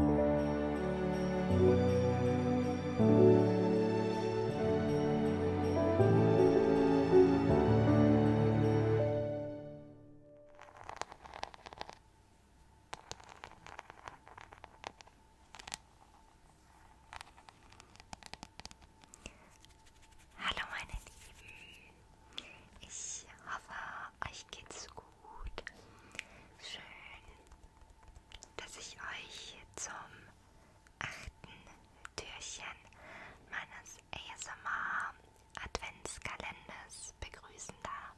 Hallo meine Lieben, ich hoffe, Ah, euch geht's gut. Schön, dass ich euch zum achten Türchen meines ASMR Adventskalenders begrüßen darf.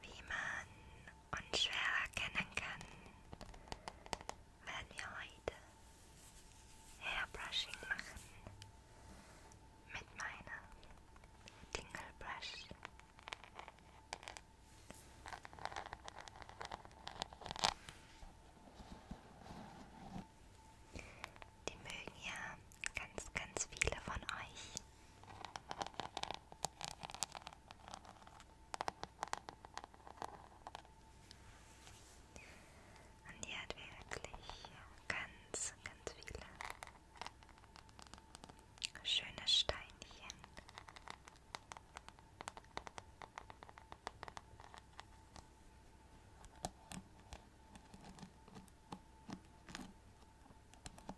Wie man und schwer erkennen kann, werden wir heute Hairbrushing machen mit meiner Dingle Brush. Die mögen ja ganz, ganz viele von euch. Und die hat wirklich ganz, ganz viele schöne Steinchen. Und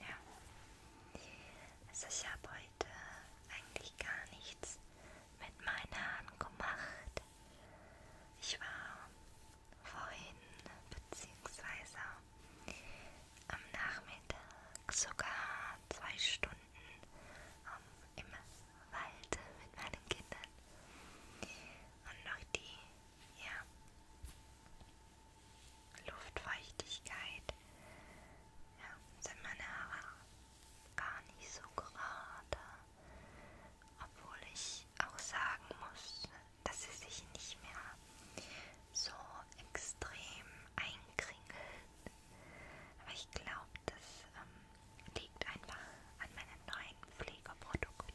Ja. Also ich habe heute eigentlich gar nichts mit meinen Haaren gemacht. Ich war vorhin beziehungsweise am Nachmittag sogar zwei Stunden um, im Wald mit meinen Kindern. Und noch die ja, Luftfeuchtigkeit ja, sind meine Haare gar nicht so gerade, obwohl ich auch sagen muss, dass sie sich nicht mehr so extrem einkringeln. Aber ich glaube, dass ähm, liegt einfach an meinen neuen Pflegeprodukten.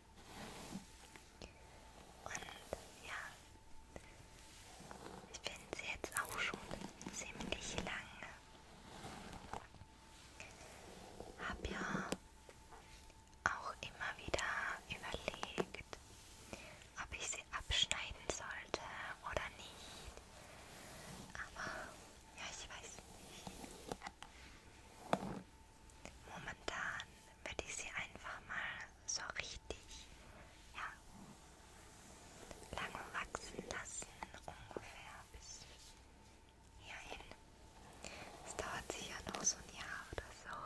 Und ja, ich bin sie jetzt auch schon ziemlich lange. Hab ja auch immer wieder überlegt, ob ich sie abschneiden sollte oder nicht. Aber ja, ich weiß nicht. Momentan würde ich sie einfach mal so richtig, ja, lange wachsen lassen, ungefähr bis hierhin. Es dauert sicher noch so ein Jahr oder so.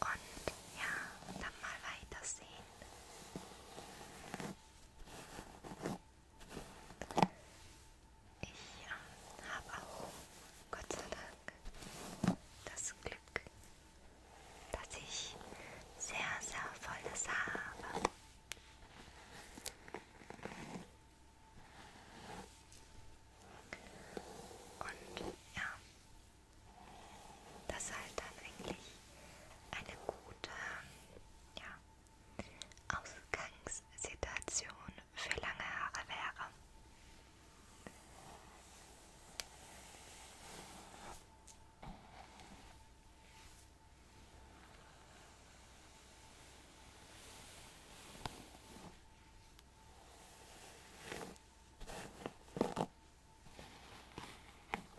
Und ja, dann mal weitersehen. Ich ähm, habe auch Gott sei Dank das Glück, dass ich sehr, sehr volles Haar habe. Und ja, das ist halt dann eigentlich eine gute, ja, Ausgangssituation für lange Haare wäre.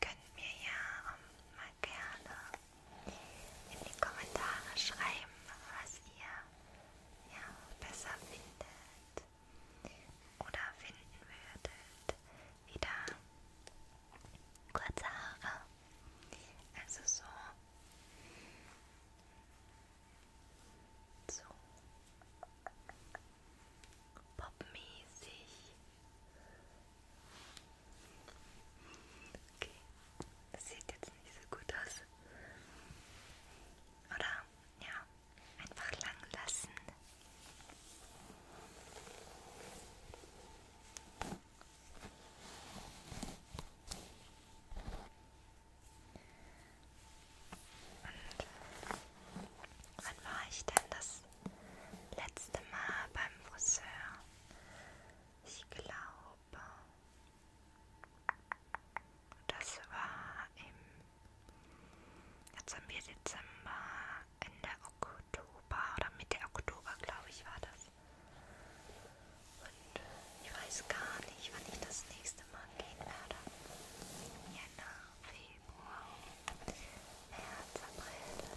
Könnt mir ja ähm, mal gerne in die Kommentare schreiben, was ihr ja, besser findet oder finden würdet. Wieder kurze Haare. Also so. So. Popmäßig. Okay. Das sieht jetzt nicht so gut aus. Oder ja, einfach lang lassen. Und wann war ich denn das letzte Mal beim Friseur? Ich glaube, Europa. Das war im, jetzt haben wir Dezember, Ende Oktober oder Mitte Oktober, glaube ich, war das. Und ich weiß gar nicht, wann ich das nächste Mal gehen werde. Jänner, Februar, März, April.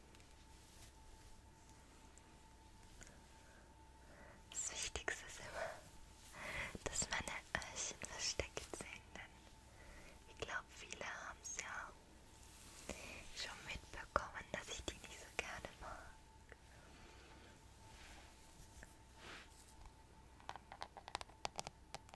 Das Wichtigste ist immer, dass meine Öhrchen versteckt sind, denn ich glaube, viele haben es ja schon mitbekommen, dass ich die nicht so gerne mag.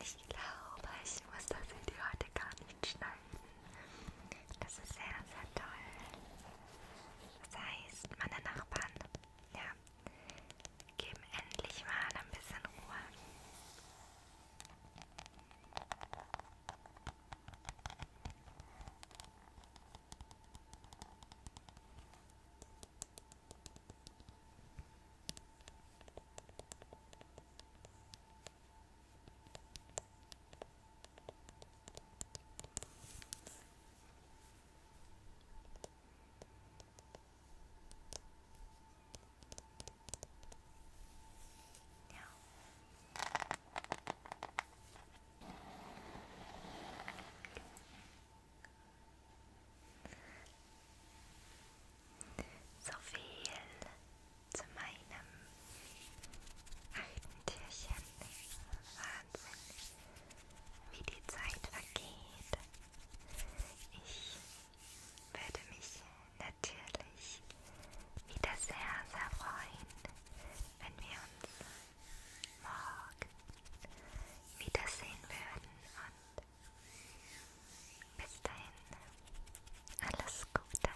Ich glaube, ich muss das Video heute gar nicht schneiden. Das ist sehr, sehr toll. Das heißt, meine Nachbarn ja. Geben endlich mal ein bisschen Ruhe. Ja. So viel zu meinem achten Türchen. Wahnsinn, wie die Zeit vergeht. Ich werde mich natürlich wieder sehr, sehr freuen, wenn wir uns morgen wiedersehen würden. Und bis dahin, alles Gute.